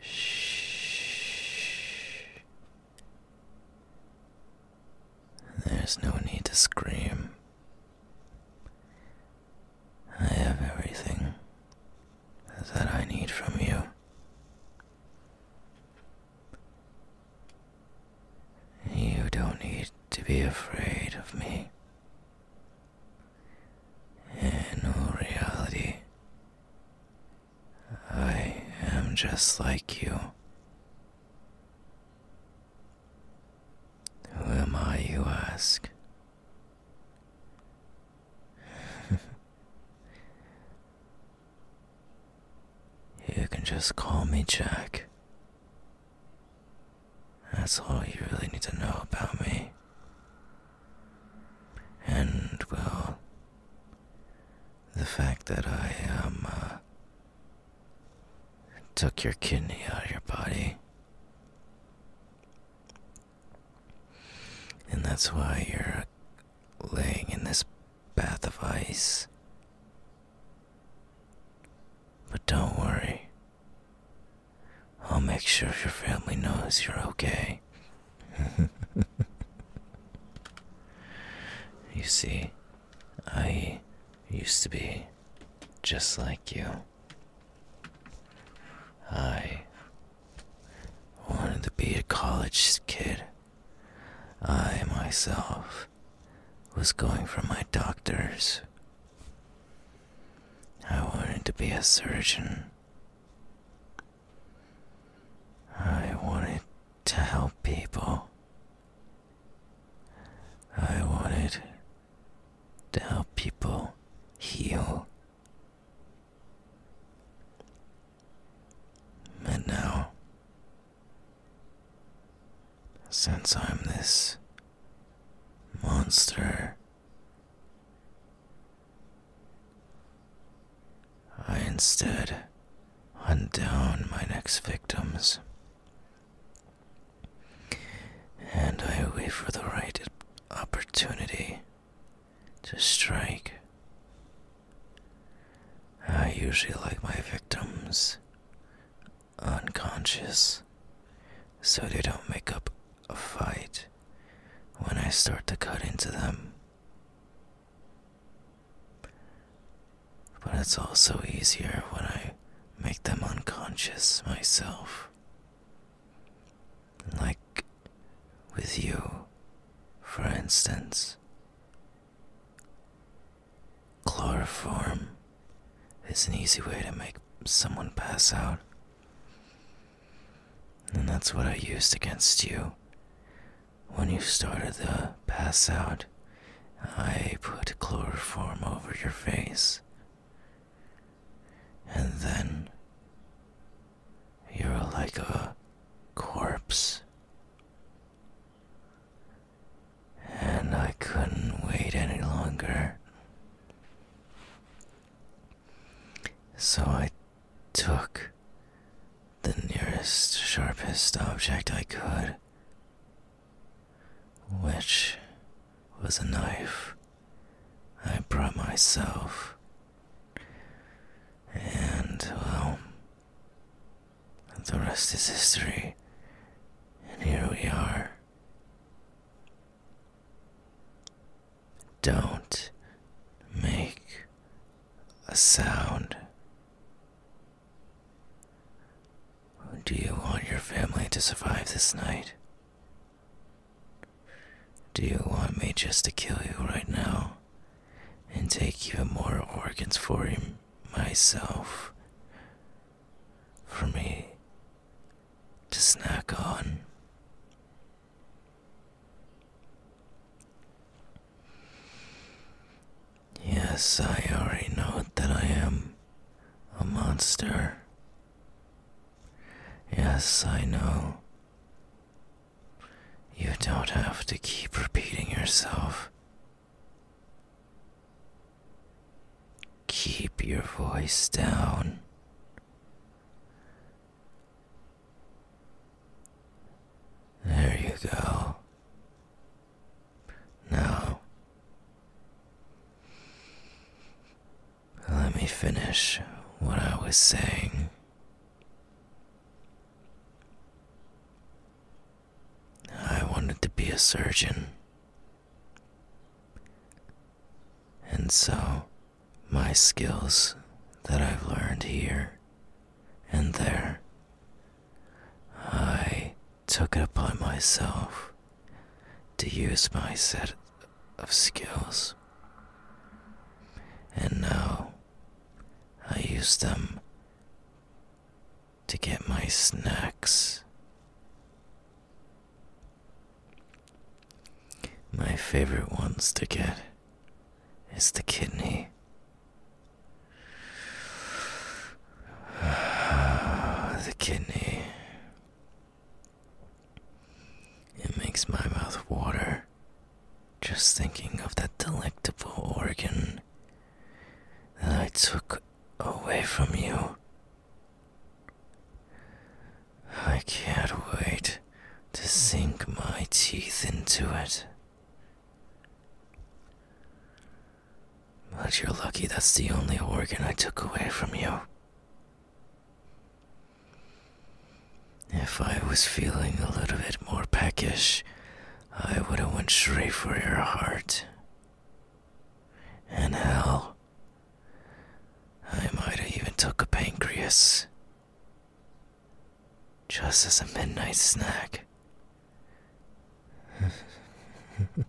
Shh. There's no need to scream. I have everything that I need from you. You don't need to be afraid of me. In all reality, I am just like you. Who am I, you ask? you can just call me Jack. That's all you really need to know about me. And, well, the fact that I, um, uh, took your kidney out of your body. And that's why you're laying in this Path of ice. But don't worry, I'll make sure your family knows you're okay. you see, I used to be just like you. I wanted to be a college kid. I myself was going for my doctors. I wanted to be a surgeon. I wanted to help people. I wanted to help people heal. And now since I'm this monster, I instead hunt down my next victims. And I wait for the right opportunity to strike. I usually like my victims unconscious so they don't make up a fight when I start to cut into them. But it's also easier when I make them unconscious myself. Like with you, for instance. Chloroform is an easy way to make someone pass out. And that's what I used against you. When you started to pass out, I put chloroform over your face. And then you're like a corpse and I couldn't wait any longer. So I took the nearest, sharpest object I could, which was a knife I brought myself. And, well, and the rest is history. And here we are. Don't make a sound. Do you want your family to survive this night? Do you want me just to kill you right now and take even more organs for him? myself for me to snack on. Yes, I already know that I am a monster. Yes, I know. You don't have to keep repeating yourself Keep your voice down. There you go. Now, let me finish what I was saying. I wanted to be a surgeon. And so, my skills that I've learned here and there, I took it upon myself to use my set of skills. And now I use them to get my snacks. My favorite ones to get is the kidney. the kidney. It makes my mouth water just thinking of that delectable organ that I took away from you. I can't wait to sink my teeth into it. But you're lucky that's the only organ I took away from you. If I was feeling a little bit more peckish, I would have went straight for your heart. And hell, I might have even took a pancreas. Just as a midnight snack.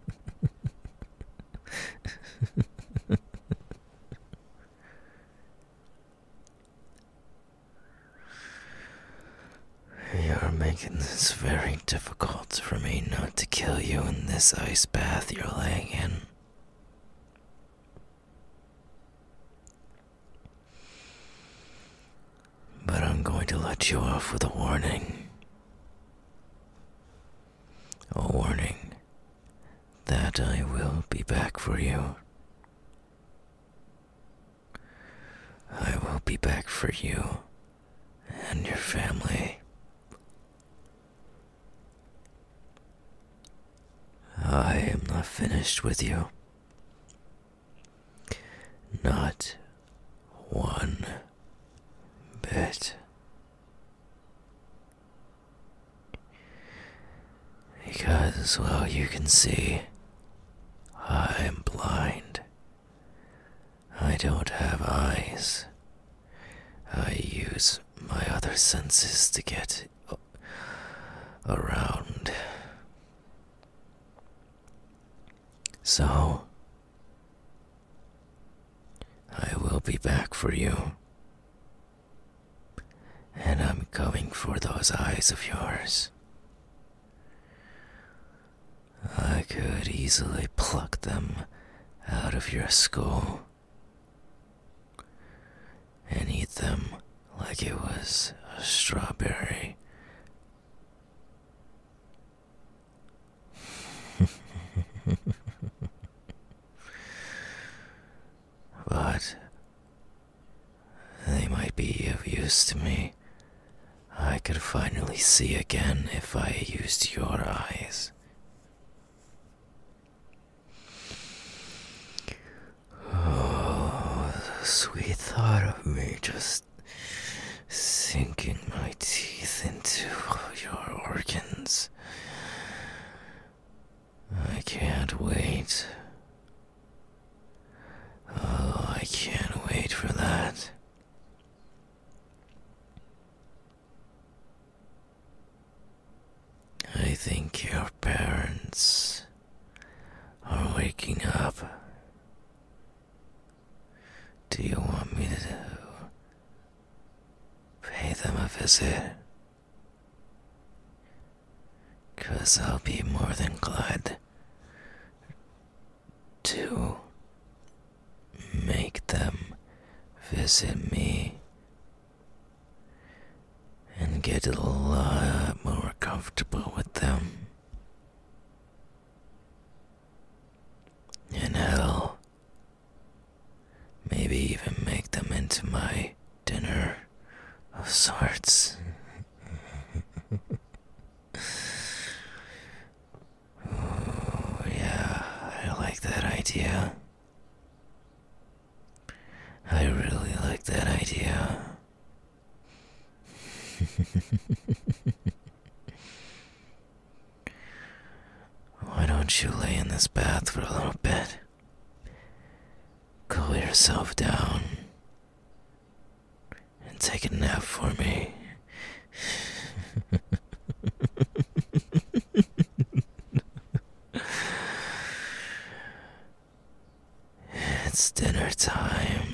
You're making this very difficult for me not to kill you in this ice bath you're laying in. But I'm going to let you off with a warning. A warning that I will be back for you. I will be back for you and your family. I am not finished with you. Not one bit. Because, well, you can see, I am blind. I don't have eyes. I use my other senses to get around. So, I will be back for you. And I'm coming for those eyes of yours. I could easily pluck them out of your skull and eat them like it was a strawberry. but they might be of use to me. I could finally see again if I used your eyes. Oh, the sweet thought of me just sinking my teeth into your organs. I can't wait. Oh, I can't wait for that. I think your parents are waking up. Do you want me to pay them a visit? Cause I'll be more than glad to make them visit me and get a lot more comfortable with them. And I'll maybe even make them into my dinner of sorts oh, yeah, I like that idea. I really like that idea. Why don't you lay in this bath for a little bit? Cool yourself down and take a nap for me. it's dinner time.